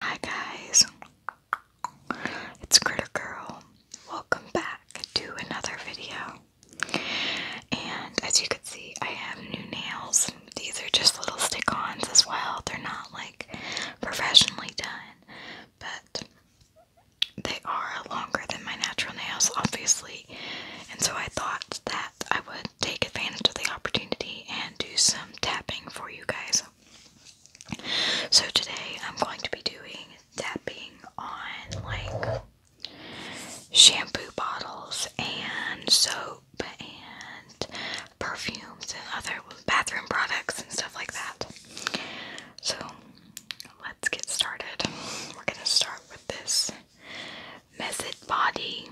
Hi guys, it's Critter Girl. Welcome back to another video. And as you can see, I have new nails. These are just little stick-ons as well. They're not like professionally done, but they are longer than my natural nails, obviously. And so I thought that I would take advantage of the opportunity and do some tapping for you guys. So today I'm going to be doing tapping on like shampoo bottles and soap and perfumes and other bathroom products and stuff like that. So let's get started. We're going to start with this Method Body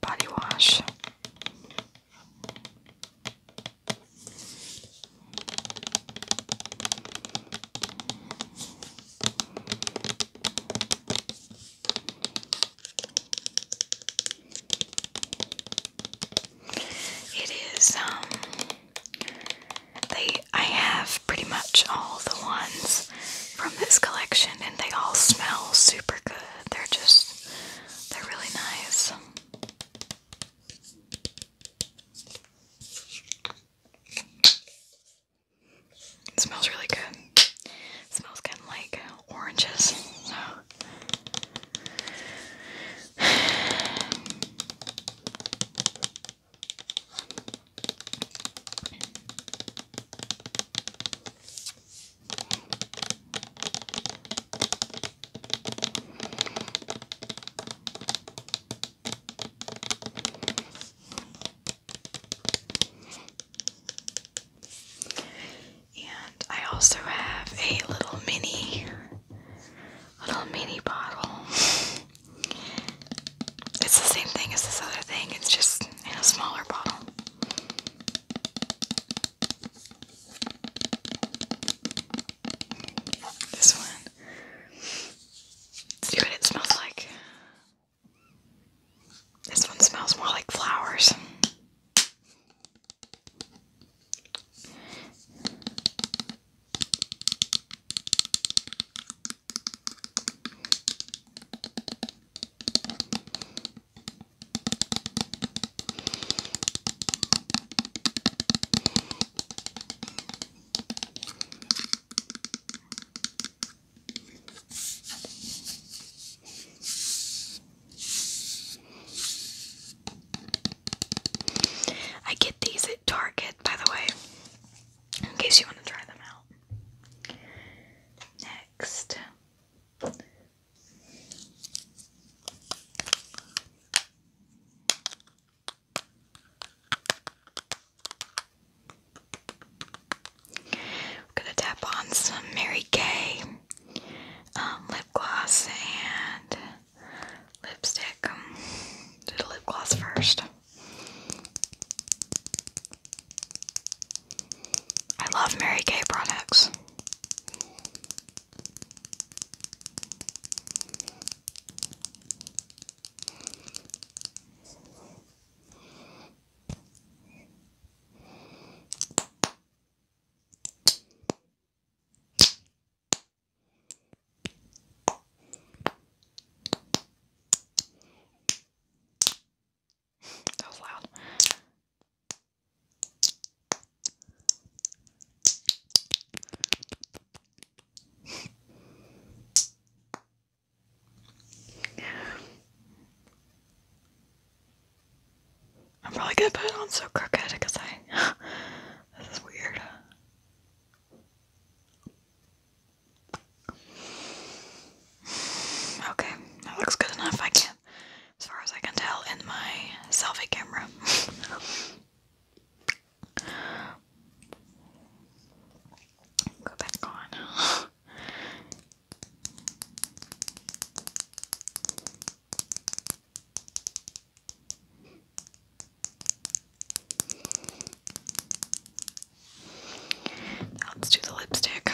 Body Wash. It is, um, they, I have pretty much all the ones from this collection and they all smell super good. They're just they're really nice. It smells really good. smells kind of like oranges. And I also have a little mini, little mini bottle. It's the same thing as this other thing, it's just in a smaller bottle. This one. See what it smells like. This one smells more like flowers. I get these at Target, by the way, in case you want to try them out. Next, we're gonna tap on some Mary Kay um, lip gloss and lipstick. Um, do lip gloss first. I love Mary Kay products that was loud. I'm probably going put on so crooked because I. this is weird. Okay, that looks good enough. I can, as far as I can tell, in my selfie camera. Go back on. let's do the lipstick.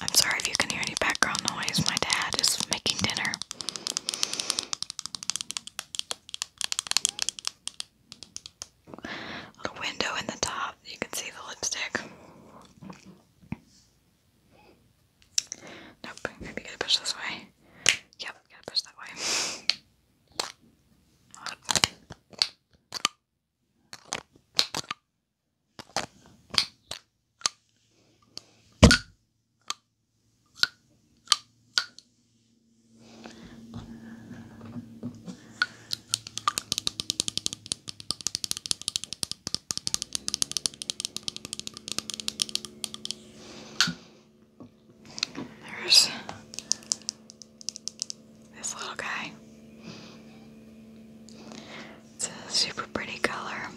I'm sorry if you can hear any background noise. My dad is making dinner. Little window in the top, you can see the lipstick. Nope, maybe get a push this way. Yep, gotta push that way. There's this little guy. It's a super pretty color.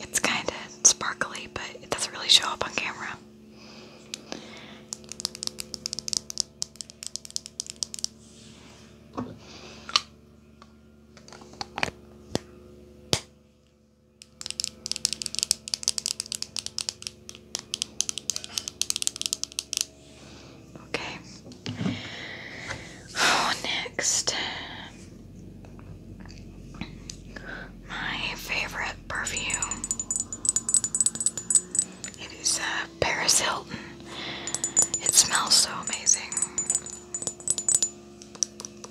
It's kind of sparkly, but it doesn't really show up on camera. Okay. Oh, next. My favorite perfume. It is uh, Paris Hilton. It smells so amazing.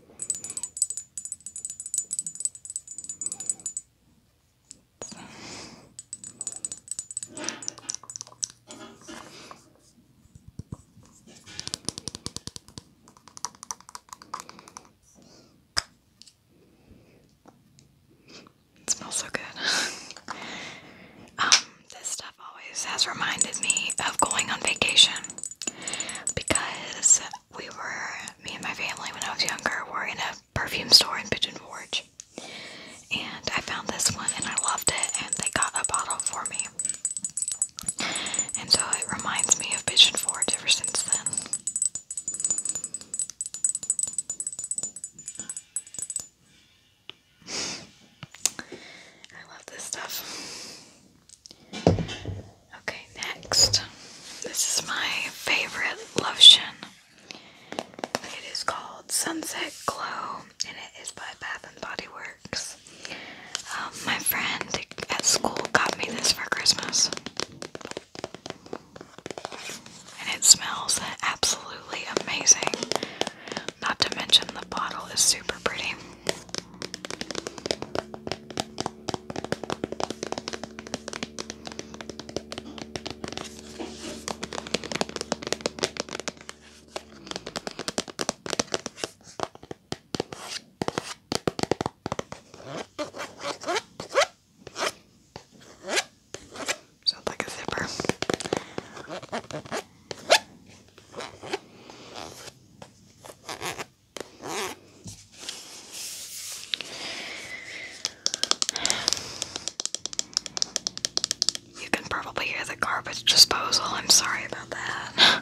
It smells so good. um, this stuff always has reminded me of going on vacation because we were, me and my family, when I was younger, were in a perfume store in Pigeon Forge. And I found this one and I loved it, and they got a bottle for me. And so it reminds me of Pigeon Forge ever since then. I love this stuff. Okay, next. This is my favorite lotion. It is called Sunset Glow and it is by Bath and Body Works. Um, my friend at school got me this for Christmas. And it smells absolutely amazing. Not to mention the bottle is super pretty. Sounds like a zipper. You can probably hear the garbage disposal. I'm sorry about that.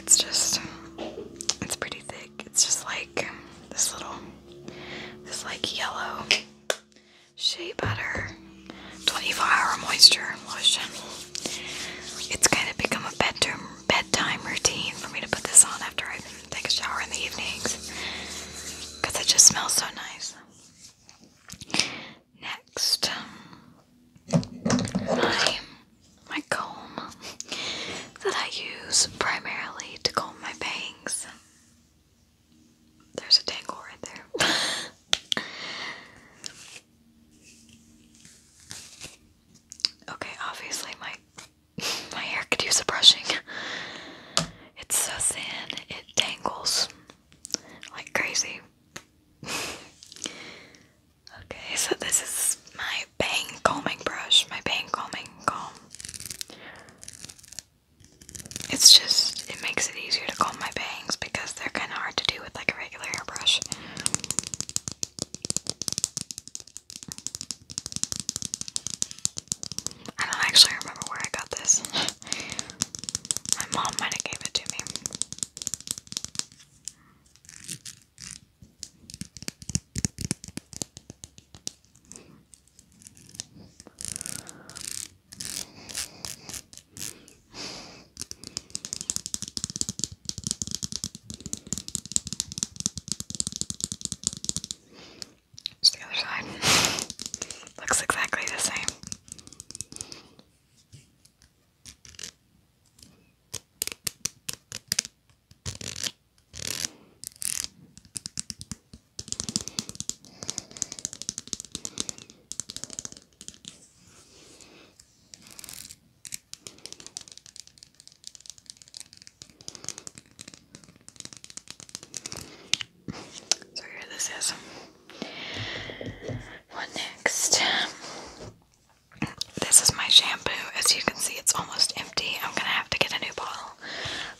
It's just, it's pretty thick. It's just like this little, this like yellow shea butter 24 hour moisture lotion. It's kind of become a bedroom bedtime routine for me to put this on after I take a shower in the evenings because it just smells so nice. Next, my my comb that I use primarily to comb my bangs. There's a tangle right there. okay, obviously my my hair could use a brushing. It's so thin, it tangles like crazy. okay, so this is my bang combing brush, my bang combing comb. It's just, it makes it easier to comb my bangs because they're kind of hard to do with like a regular hairbrush. I don't actually remember where I got this. my mom might have gave it to me. It's the other side. Looks exactly the same. So here this is. What next? This is my shampoo. As you can see, it's almost empty. I'm gonna have to get a new bottle,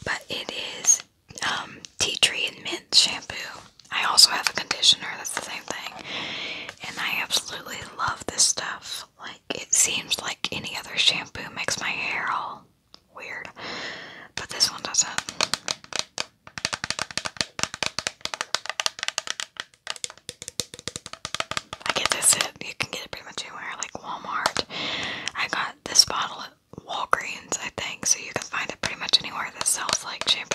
but it is um, tea tree and mint shampoo. I also have a conditioner. That's the same thing, and I absolutely love this stuff. Like it seems like any other shampoo makes my hair all weird, but this one doesn't. I get this you can get it pretty much anywhere, like Walmart. I got this bottle at Walgreens, I think, so you can find it pretty much anywhere that sells like shampoo.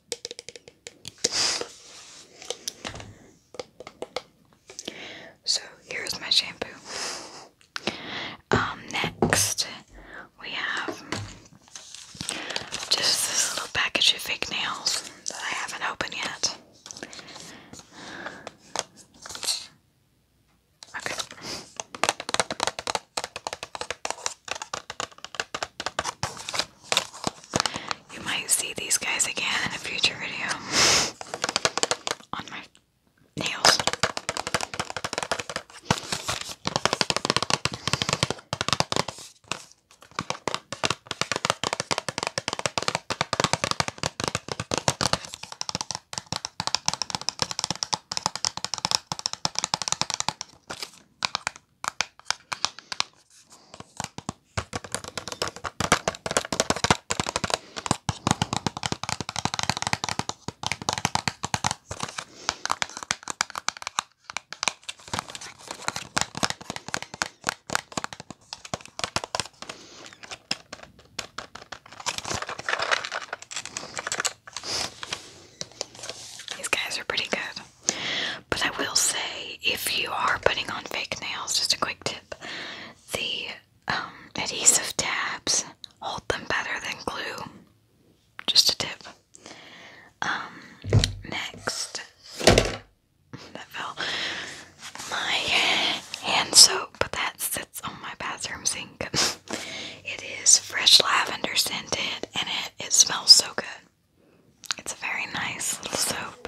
So here's my shampoo. Um, next we have just this little package of fake nails that I haven't opened yet. Okay. You might see these guys again in a future video on my nails. These guys are pretty good. But I will say, if you are putting on fake nails, just a quick tip the um, adhesive tabs hold them better than glue. Just a tip. Um, next, that fell. My hand soap that sits on my bathroom sink. it is fresh lavender scented and it, it smells so good. It's a very nice little soap.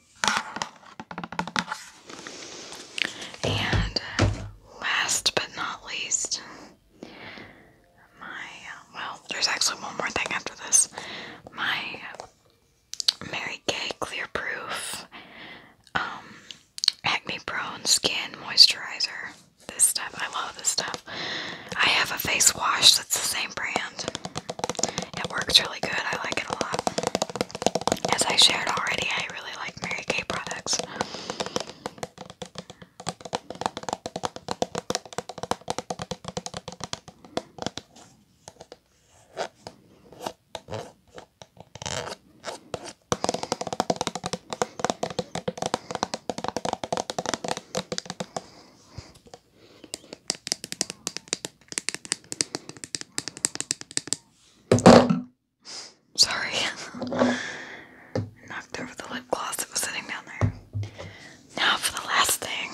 And last but not least, my well, there's actually one more thing after this. My Mary Kay Clear Proof um, Acne Prone Skin Moisturizer. This stuff, I love this stuff. I have a face wash that's the same brand. It works really good. I like it a lot. As I shared already, I really like Mary Kay products. Sorry. Knocked over the lip gloss that was sitting down there. Now for the last thing.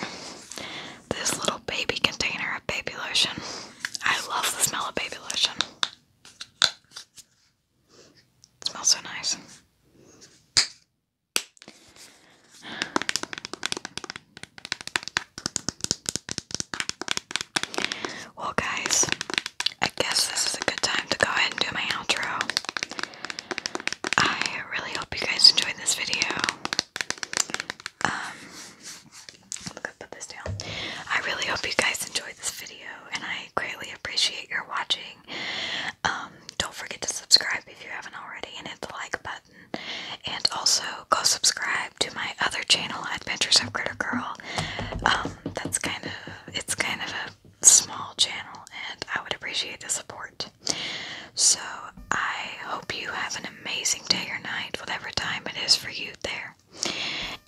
This little baby container of baby lotion. I love the smell of baby lotion. It smells so nice. Well, guys, I guess this is a good time to go ahead and do my outro. I really hope you guys enjoyed this video. Um, i put this down. I really hope you guys enjoyed this video, and I greatly appreciate your watching. Um, don't forget to subscribe if you haven't already, and hit the like button. And also go subscribe to my other channel, Adventures of Critter Girl. Um, that's kind of it's kind of a small channel, and I would appreciate the support. So I hope you have an amazing day or night, whatever time it is for you there.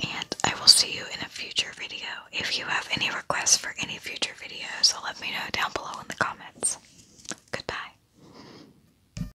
And I will see you in a future video. If you have any requests for any future videos, let me know down below in the comments. Goodbye.